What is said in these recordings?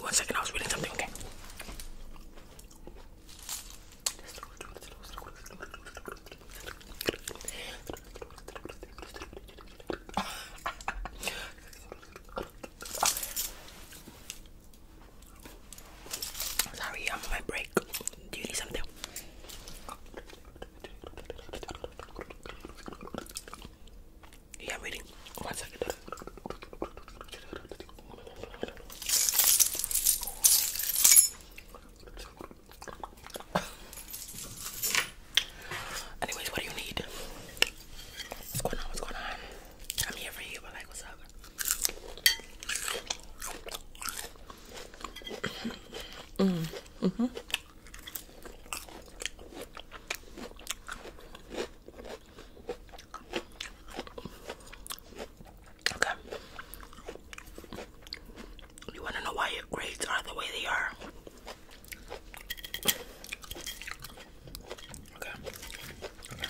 One second, I was reading something, okay? Sorry, I'm on my break. Do you need something? Yeah, I'm reading. One second. Anyways, what do you need? What's going on? What's going on? I'm here for you, like, what's up? Mm-hmm. Okay. You want to know why your grades are the way they are? Okay. Okay.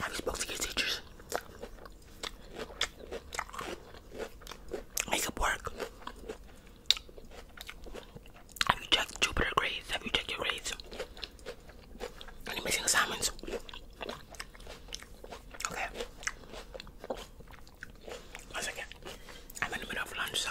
Have spoke to your teachers? Make work. Have you checked Jupiter grades? Have you checked your grades? Any missing assignments? Okay. One second. I'm in the middle of lunch, so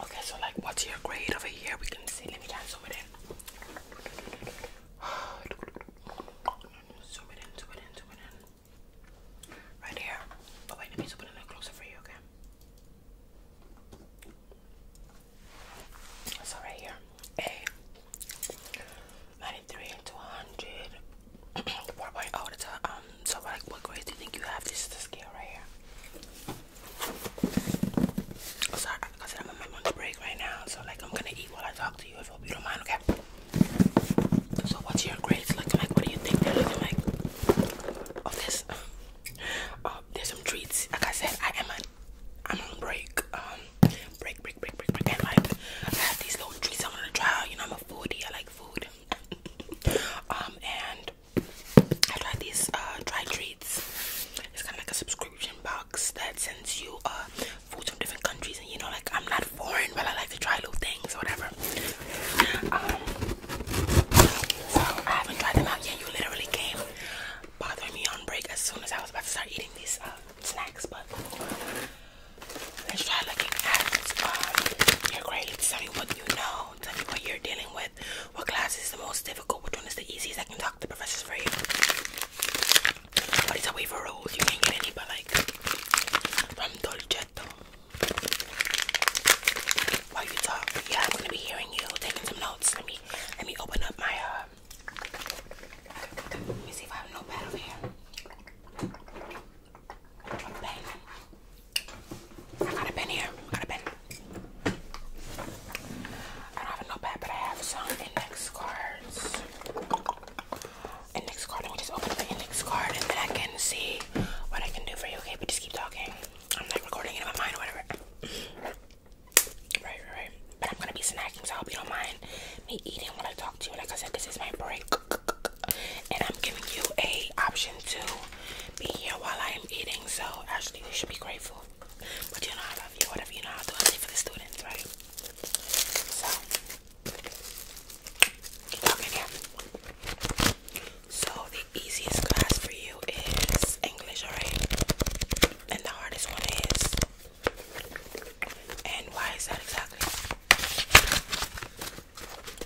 Okay, so like what's your grade over here? We can see. Let me try and zoom it in. Right here. Oh wait, let me zoom it in closer for you, okay? So right here. A 93 to 100 4.0 to um so like what grade do you think you have this is the scale right here oh, sorry because i'm on my lunch break right now so like i'm gonna eat while i talk to you if you don't mind okay so what's your grades looking like what do you think they're looking like of this um there's some treats like i said i am a i'm on break um break break break break break and like i have these little treats i want to try you know i'm a foodie i like food. um, and I tried these uh, dry treats. It's kind of like a subscription box that sends you uh, foods from different countries. And you know, like I'm not foreign, but I like to try new things or whatever. Um, so I haven't tried them out yet. You literally came bothering me on break as soon as I was about to start eating these uh, snacks, but. Let's try looking at um, your grades. Tell me what you know. Tell me what you're dealing with. What class is the most difficult? Which one is the easiest? I can talk to professors for you. But it's a waiver rule. You can't get any but like from Dolcetto. While you talk, yeah, I'm gonna be hearing you, taking some notes. Let me let me open up my uh, let me see if I have a notepad here. I got a pen here. I got a pen. I don't have a notepad, but I have some index cards. Index card. Let me just open the index card and then I can see what I can do for you. Okay, but just keep talking. I'm not recording it my mind or whatever. right, right, right. But I'm gonna be snacking, so I hope you don't mind me eating when I talk to you. Like I said, this is my break and I'm giving you a option to be here while I am eating. So actually, you should be grateful. But you know I love you. Whatever you know, I'll for the students, right? So keep talking So the easiest class for you is English, alright? And the hardest one is. And why is that exactly?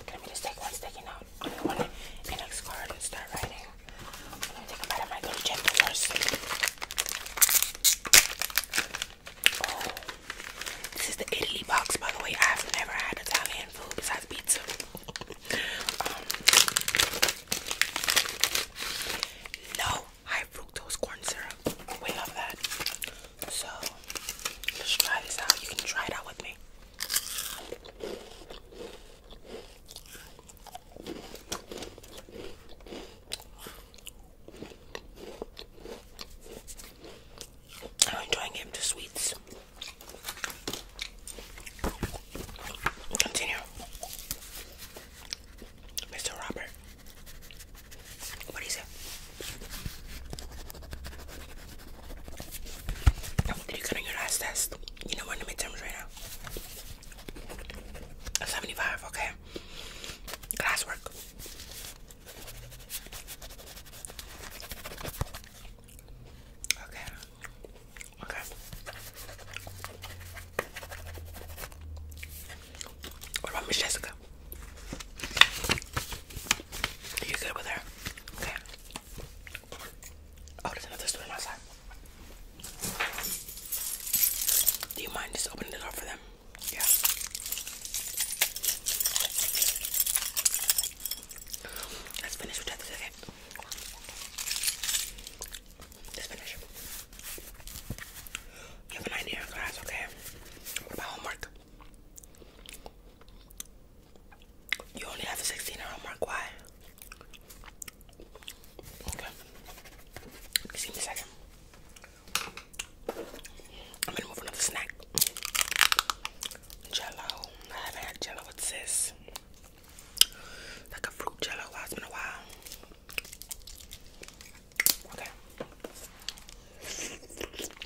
Let me just take one sticking out I'm gonna on the one index card and start writing. Let me take a bite of my little chapter first. Oh, this is the Italy box, by the way. I have never had Italian food besides pizza. Um, no low high fructose corn syrup. We love that. So Let's try this out. You can try it out with me. I'm enjoying him to sweets. Continue. Mr. Robert. What is it? Did you get on your last test? You know we're in the right now. 75, okay. Classwork. Okay. Okay. What about Miss Jessica? You good with her? Okay. Oh, there's another student outside. Do you mind just opening it up for them? Yeah. Let's finish with that second. Let's finish. You have an idea class, okay? What about homework? You only have a 16 hour mark. Why? Okay. Excuse me a second. I'm gonna move another snack. Jello. I haven't had jello. What's a fruit it's been a while. Okay.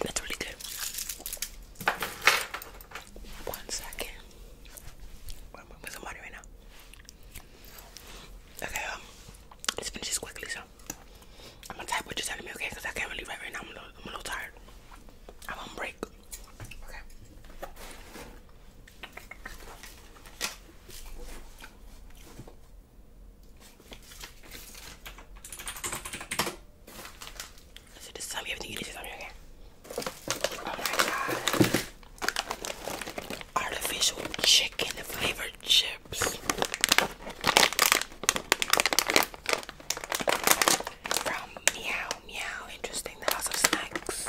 That's really good. One second. We're with somebody right now. Okay, um, let's finish this quickly. So, I'm gonna type what you're telling me, okay? Because I can't really right now. I'm a little, tired. I'm on break. Okay. So just tell you need to tell me okay? Oh my god. Artificial chicken flavored chips. From Meow Meow. Interesting. The House of Snacks.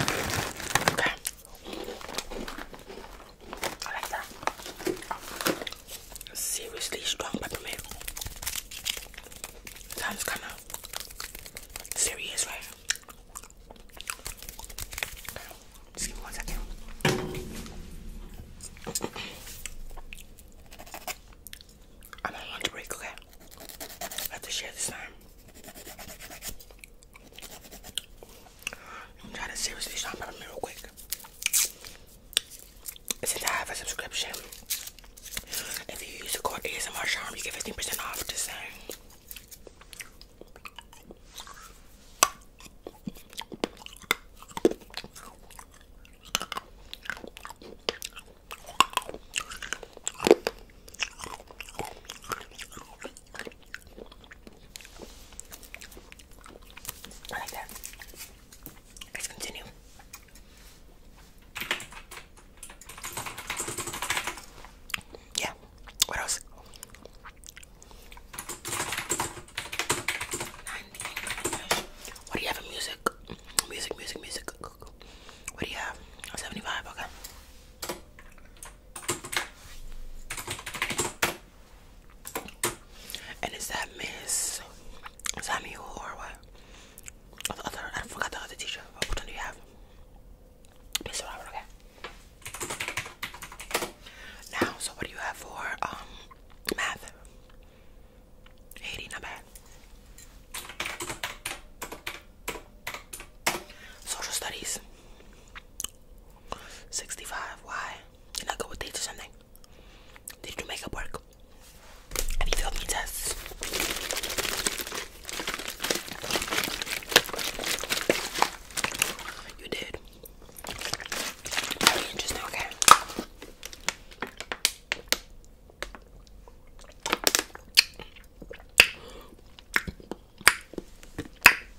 Okay. like that. Seriously strong pepper. Sounds kind of serious, right? Just give me one second. I'm on lunch break, okay? have to share this time. I'm trying to seriously shop at them real quick. Since I have a subscription, if you use the code ASMR Charm, you get 15% off. Just saying. I like that. Let's continue. Yeah. What else? What do you have in music? Music, music, music. What do you have? 75, okay. And is that Miss Samuel or what? Or oh, the other, I forgot the other teacher. Oh, which do you have? Now, so what do you have for um math? 80, not bad. Social studies. 65. Why? did I go with dates or something? Did you make it work? Have you failed me tests? You did. Very okay?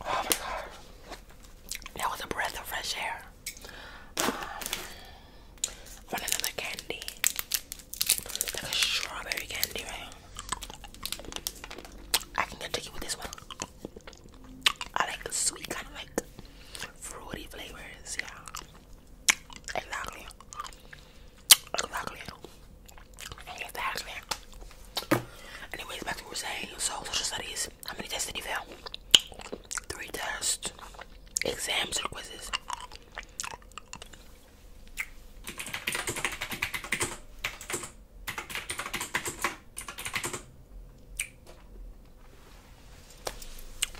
Oh my god. That was a breath of fresh air. Um, I want candy. Like a strawberry candy, right? I can get tricky with this one. I like the sweet, kind of like fruity flavors, yeah. Exactly. Exactly. Exactly. Anyways, back to what we are saying. So, social studies. How many tests did you fail? Three tests. Exams or quizzes?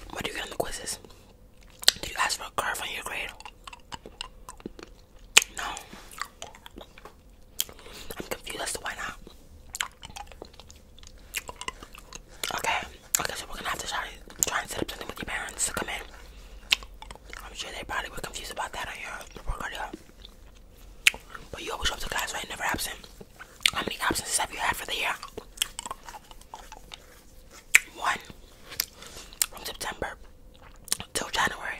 What do you get on the quizzes? Did you ask for a curve on your grade? No. I'm confused as to why not. Okay, okay, so we're gonna have to try, and set up something with your parents to come in. I'm sure they probably were confused about that on your report card, But you always show up to class, right? Never absent. How many absences have you had for the year? One. From September till January.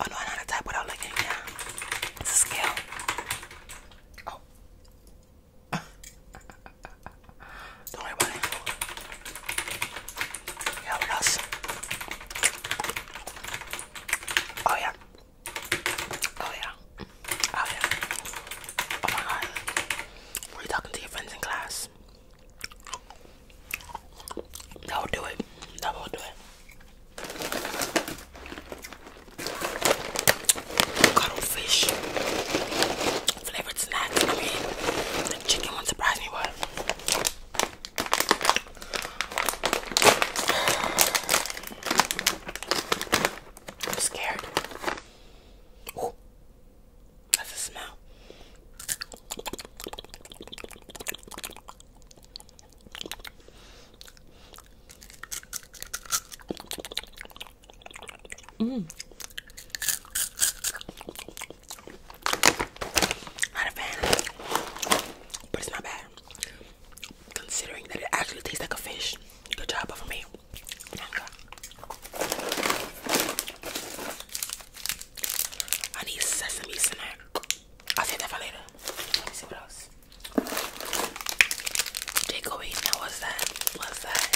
I know how to type without looking Yeah, It's a scale. Oh. Don't worry about it. Yeah, what else? Oh yeah. Oh yeah. Oh yeah. Oh my god. Were you talking to your friends in class? That will do it. That will do it. Cuttlefish. Flavored snacks. I chicken will surprise me, but. I'm scared. that's a smell. Mm. Not a fan, but it's not bad. Considering that it actually tastes like a fish. Good job of me. I need sesame snack. I'll save that for later. Let me see what else. Takeaway. Now what's that? What's that?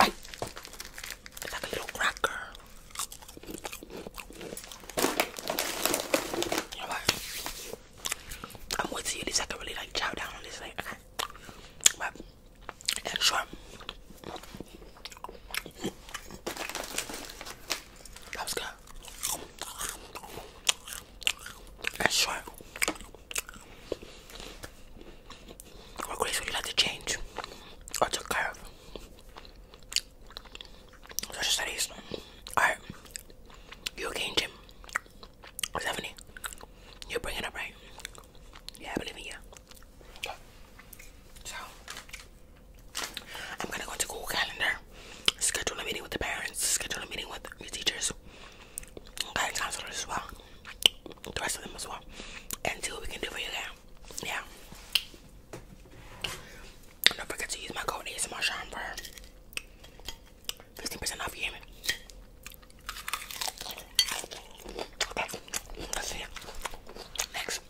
I, it's like a little cracker. You know what? I'm waiting to see at really like chow down on this Okay. and sure. That was good. That's short. What grace would you like to change? Or to curve? Social studies. Alright. You're changing. Stephanie, you're bringing up right. Yeah, I believe in you. So, I'm gonna go into Google Calendar, schedule a meeting with the parents, schedule a meeting with your teachers, and counselors as well, the rest of them as well, and see what we can do for you there. Yeah. don't forget to use my code ASMR Sean for 15% off, you hear Okay, let it. Next.